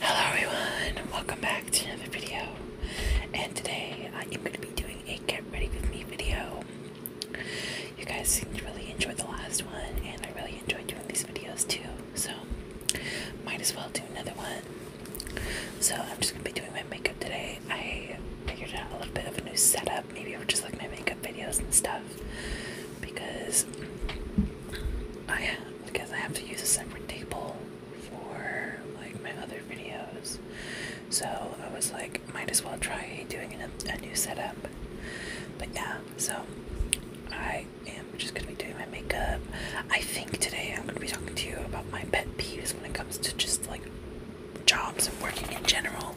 Hello everyone, welcome back to another video. And today I am going to be doing a get ready with me video. You guys seem to really enjoy the last one, and I really enjoyed doing these videos too so might as well do another one. So I'm just gonna be doing my makeup today. I figured out a little bit of a new setup, maybe I would just like my makeup videos and stuff, because I because I have to use a separate table for like my other videos. So I was like, might as well try doing a, a new setup. But yeah, so I and we're just gonna be doing my makeup. I think today I'm gonna be talking to you about my pet peeves when it comes to just like jobs and working in general,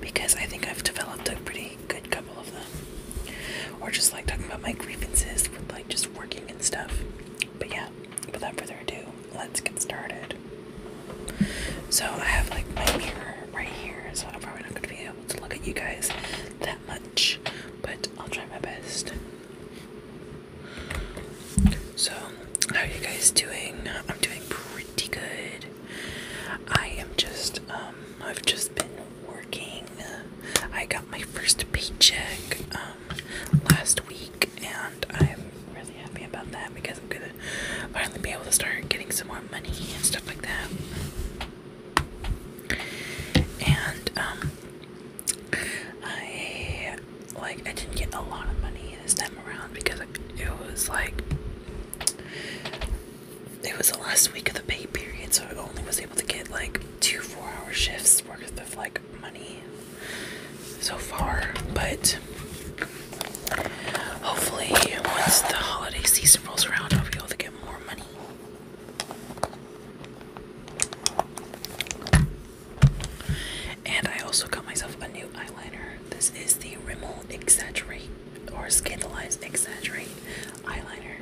because I think I've developed a pretty good couple of them. Or just like talking about my grievances with like just working and stuff. But yeah, without further ado, let's get started. So I have like my mirror right here, so I'm probably not gonna be able to look at you guys that much but I'll try my best. So, how are you guys doing? I'm doing pretty good. I am just, um, I've just been working. I got my first paycheck, um, last week, and I'm really happy about that because I'm gonna finally be able to start getting some more money and stuff like that. And um I like I didn't get a lot of money this time around because it was like it was the last week of the pay period, so I only was able to get like two four-hour shifts worth of like money so far. But hopefully, once the holiday season rolls around, I'll be able to get more money. And I also got myself a new eyeliner. This is the Rimmel Exaggerate or Scandalize Exaggerate eyeliner.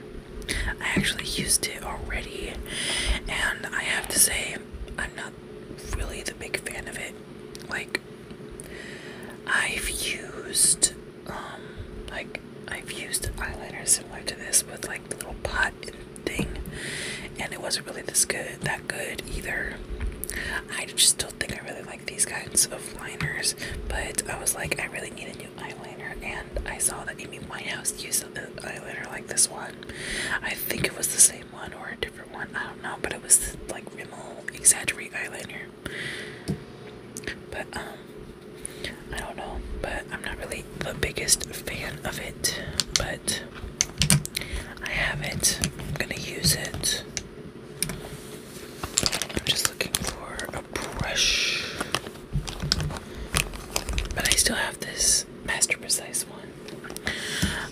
I actually used it already, and I have to say, I'm not really the big fan of it. Like, I've used um, like I've used eyeliner similar to this with like the little pot and thing, and it wasn't really this good, that good either. I just don't think I really like these kinds of liners, but I was like, I really need a new eyeliner, and I saw that Amy Whitehouse used an eyeliner like this one. I think it was the same one or a different one, I don't know, but it was the, like Rimmel Exaggerate eyeliner. But um, I don't know, but I'm not really the biggest fan of it. But I have it. I'm gonna use it. I'm just looking for a brush. But I still have this Master Precise one.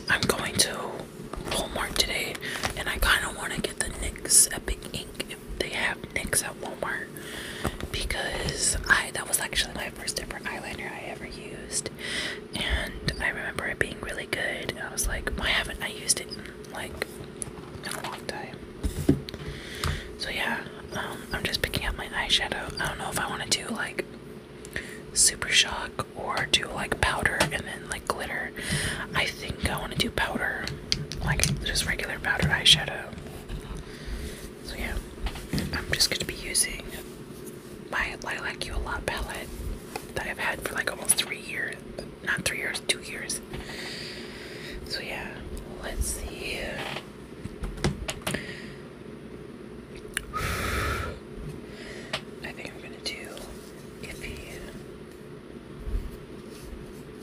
I'm going to Walmart today and I kind of want to get the NYX Epic Ink they have NYX at Walmart because I that was actually my first ever eyeliner I ever used, and I remember it being really good. And I was like, why haven't I used it like a long time? So yeah, um, I'm just picking up my eyeshadow. I don't know if I want to do like super shock or do like powder and then like glitter. I think I want to do powder, like just regular powdered eyeshadow. So yeah, I'm just going to be using my Lilac You A palette that I've had for like almost three years. Not three years, two years. So yeah, let's see. I think I'm going to do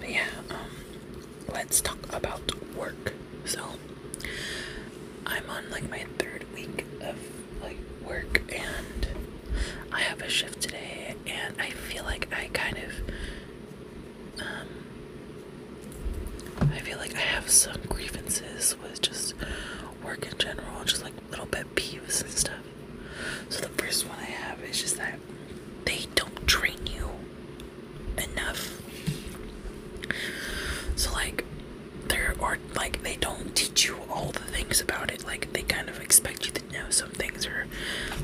But yeah, um, let's talk about work. So I'm on like my third week of like work and I have a shift today and I feel like I kind of um I feel like I have some grievances with just work in general, just like little bit peeves and stuff. So the first one I have is just that they don't train you enough. So like there are like they don't teach you all the things about it. Like they kind of expect you to know some things or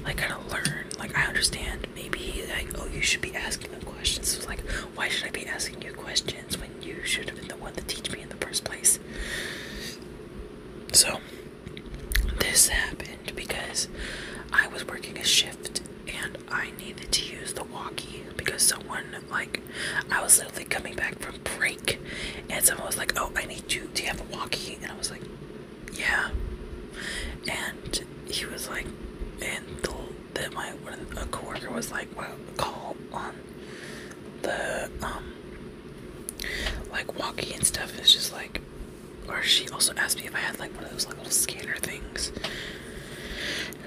like kind of learn. Like I understand maybe like oh you should be asking them questions. like why should I be asking you questions when you should have been the one to teach me in the first place. So, this happened because I was working a shift and I needed to use the walkie because someone, like, I was literally coming back from break and someone was like, Oh, I need you. Do you have a walkie? And I was like, Yeah. And he was like, and the, the my one, a coworker was like, well, call on the um like walkie and stuff is just like or she also asked me if I had like one of those like little scanner things.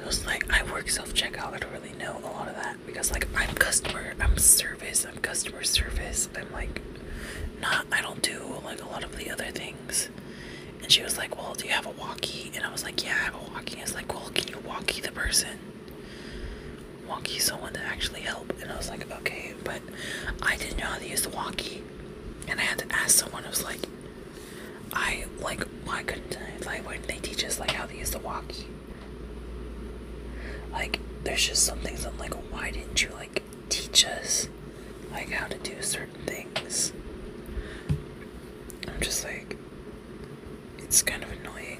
I was like I work self checkout, I don't really know a lot of that because like I'm customer I'm service, I'm customer service, I'm like not I don't do like a lot of the other things. And she was like, Well, do you have a walkie? And I was like, Yeah, I have a walkie. And I like, Well, can you walkie the person? walkie someone to actually help and I was like okay but I didn't know how to use the walkie and I had to ask someone I was like I like why couldn't like why didn't they teach us like how to use the walkie like there's just some things I'm like why didn't you like teach us like how to do certain things I'm just like it's kind of annoying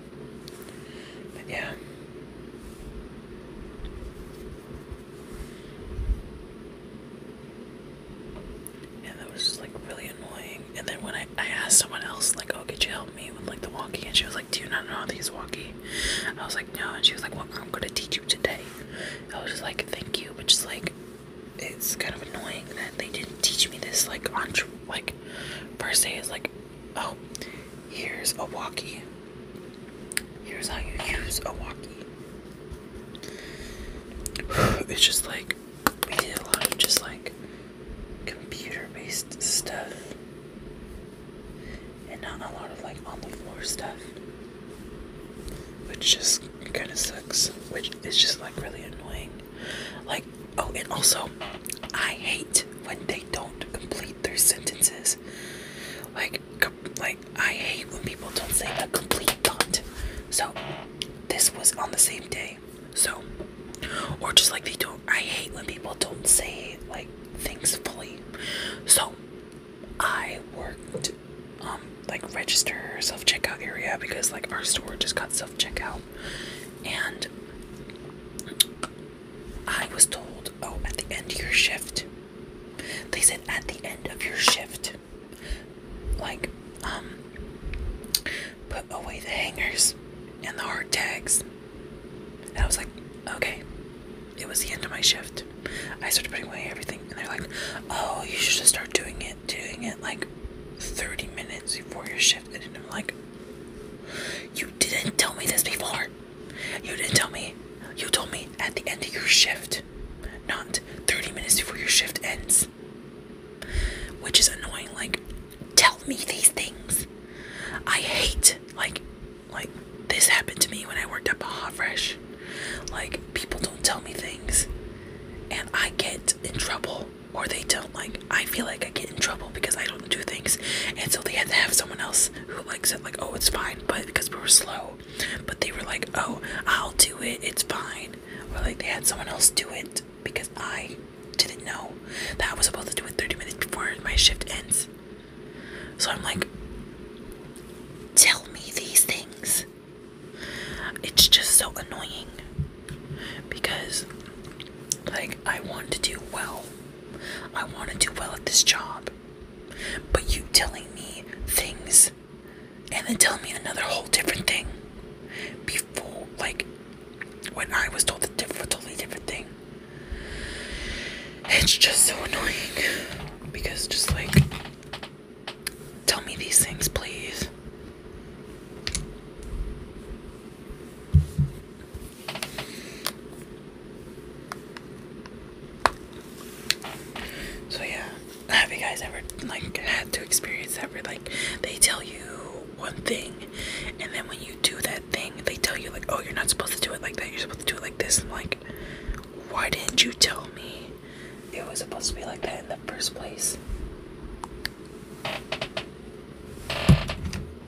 But yeah. And that was like really annoying. And then when I, I asked someone else, like, oh, could you help me with like the walkie? And she was like, do you not know how to use walkie? I was like, no. And she was like, well, I'm going to teach you today. I was just like, thank you. But just like, it's kind of annoying that they didn't teach me this like on like first day is like Oh, here's a walkie. Here's how you use a walkie. It's just like we did a lot of just like computer based stuff and not a lot of like on the floor stuff. Which just kinda sucks. Which is just like really annoying. Like oh and also I hate when they don't complete their sentences. Like, like I hate when people don't say a complete thought. So, this was on the same day. So, or just like they don't. I hate when people don't say like things fully. So, I worked um like register self checkout area because like our store just got self checkout, and I was told, oh, at the end of your shift. They said at the end of your shift. Like, um, put away the hangers and the hard tags. And I was like, okay. It was the end of my shift. I started putting away everything, and they're like, oh, you should just start doing it, doing it like 30 minutes before your shift. And I'm like, you didn't tell me this before. You didn't tell me. You told me at the end of your shift, not 30 minutes before your shift ends. Which is annoying. Like, tell me these things. I hate like like this happened to me when I worked at Baja Fresh. Like people don't tell me things and I get in trouble or they don't like I feel like I get in trouble because I don't do things and so they have to have someone else who likes it? like oh it's fine but because we were slow but they were like oh i'll do it it's fine or like they had someone else do it because i didn't know that i was supposed to do it 30 minutes before my shift ends so i'm like tell me these things it's just so annoying because like i want to do well I want to do well at this job. But you telling me things and then telling me another whole different thing before, like, when I was told a different, totally different thing. It's just so annoying because, just like, tell me these things, please. So yeah, have you guys ever like had to experience that where like they tell you one thing and then when you do that thing they tell you like oh you're not supposed to do it like that, you're supposed to do it like this like why didn't you tell me it was supposed to be like that in the first place?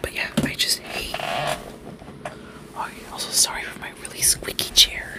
But yeah, I just hate Oh, also sorry for my really squeaky chair.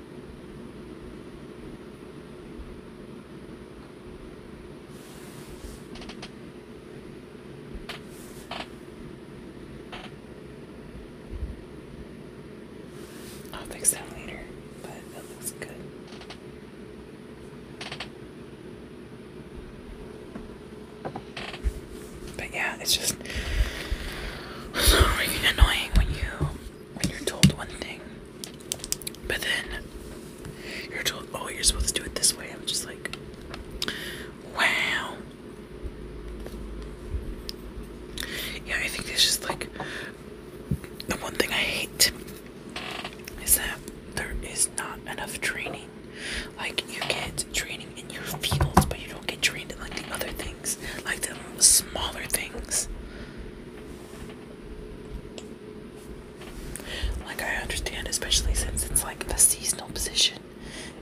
I'll fix that later, but that looks good. But yeah, it's just just so freaking annoying when you when you're told one thing, but then you're told, "Oh, you're supposed to do it this way." I'm just like, "Wow." Yeah, I think it's just like the one thing I hate is that there is not enough training. Like you get training in your fields, but you don't get trained in like the other things like the smaller things. Like, I understand, especially since it's like a seasonal position.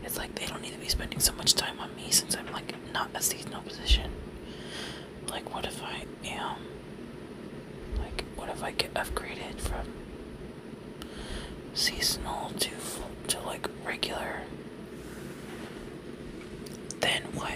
It's like they don't need to be spending so much time on me since I'm like not a seasonal position. Like, what if I am? Like, what if I get upgraded from seasonal to to like regular? Then what?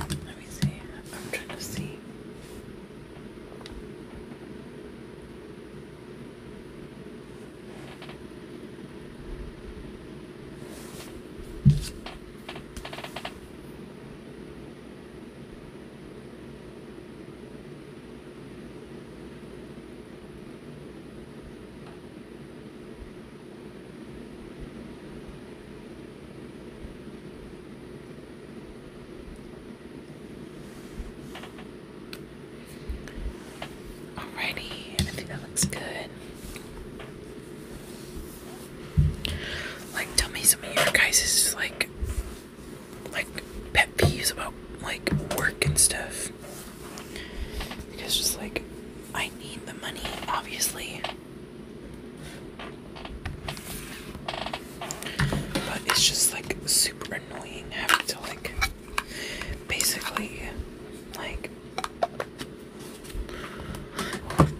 Let me see. I'm trying to see. Alrighty, I think that looks good. Like, tell me some of your guys' like, like pet peeves about like work and stuff. Because just like, I need the money, obviously. But it's just like super annoying having to like basically like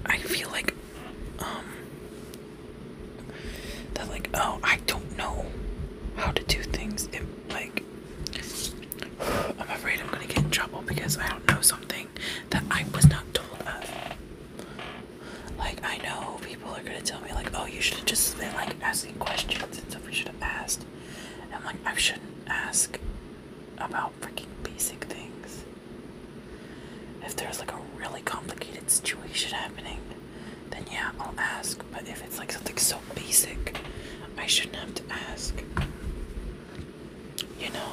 I feel like, um, that like, oh, I don't know how to do things. It, like, I'm afraid I'm gonna get in trouble because I don't know something that I was not told of. Like, I know people are gonna tell me, like, oh, you should just been like asking questions and stuff, We should have asked. I'm like, I shouldn't ask about freaking basic things. If there's like a really complicated situation happening, then yeah, I'll ask. But if it's like something so basic, I shouldn't have to ask. You know?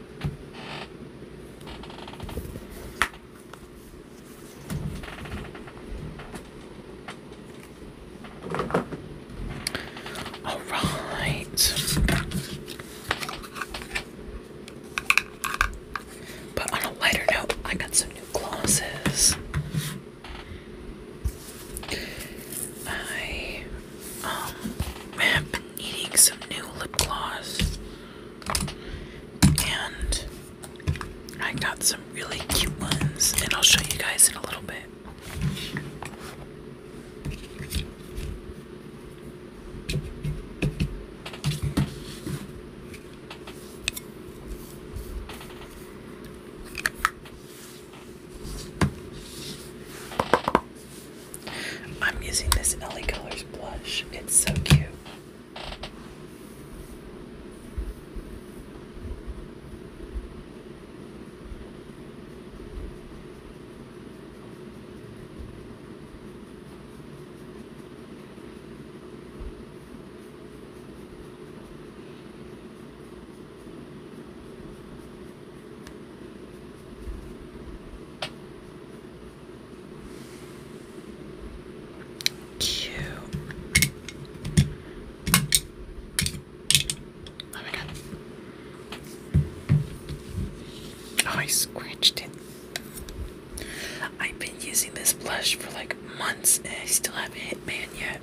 All right. But on a lighter note, I got some new glasses. I um, I'm needing some new lip gloss. And I got some really cute ones, and I'll show you guys in a little bit. I'm using this LA Colors blush. It's so cute. Two. Oh my god. Oh, I scratched it. I've been using this blush for like months and I still haven't hit man yet.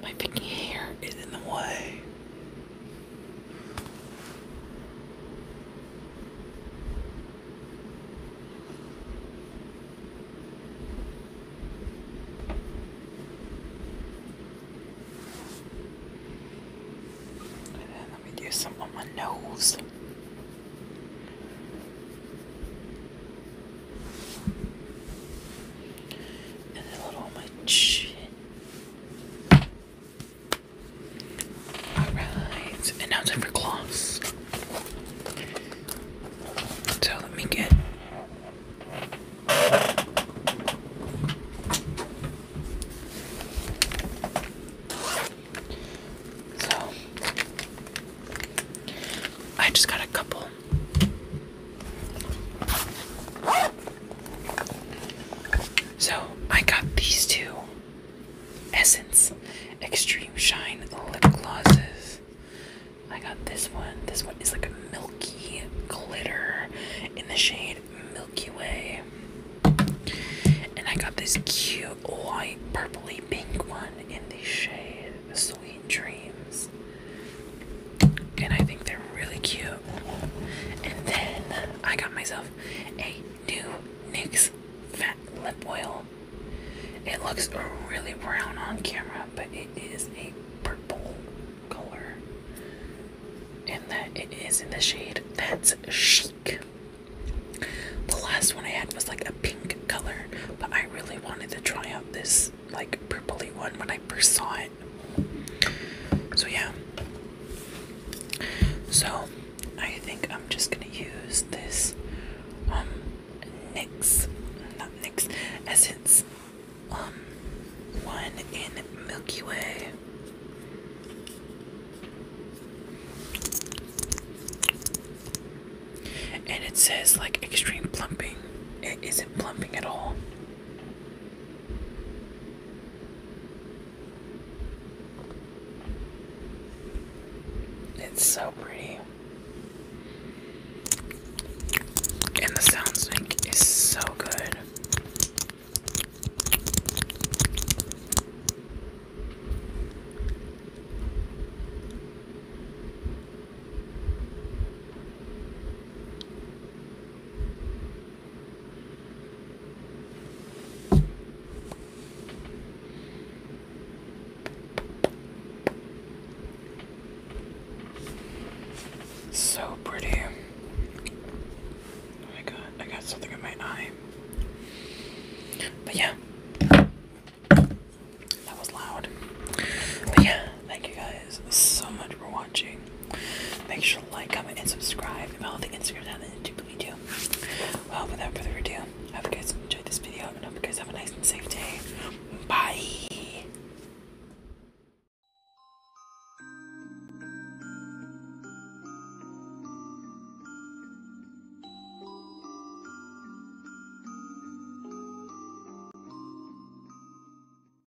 My freaking hair is in the way let me do some on my nose. a little on my chin. Alright, and now time for gloss. So let me get. So I just got a couple so I got these two Essence Extreme Shine lip glosses. I got this one. This one is like a milky glitter in the shade Milky Way. And I got this cute white, purpley pink one in the shade Sweet Dreams and I think they're really cute. And then I got myself a new NYX Fat Lip Oil. It looks really brown on camera, but it is a purple color. And that it is in the shade that's chic. The last one I had was like a pink color, but I really wanted to try out this like purply one when I first saw it. So yeah. So I think I'm just gonna use this um Nix, not Nix, Essence um one in Milky Way. And it says like extreme plumping. It isn't plumping at all. It's so pretty. And the sound sync is so good. So pretty. I got I got something in my eye. But yeah. That was loud. But yeah, Thank you guys so much for watching. Make sure to like, comment, and subscribe. And follow the Instagram down in the YouTube we do. Well, without further ado, I hope you guys enjoyed this video and I hope you guys have a nice and safe day. Bye.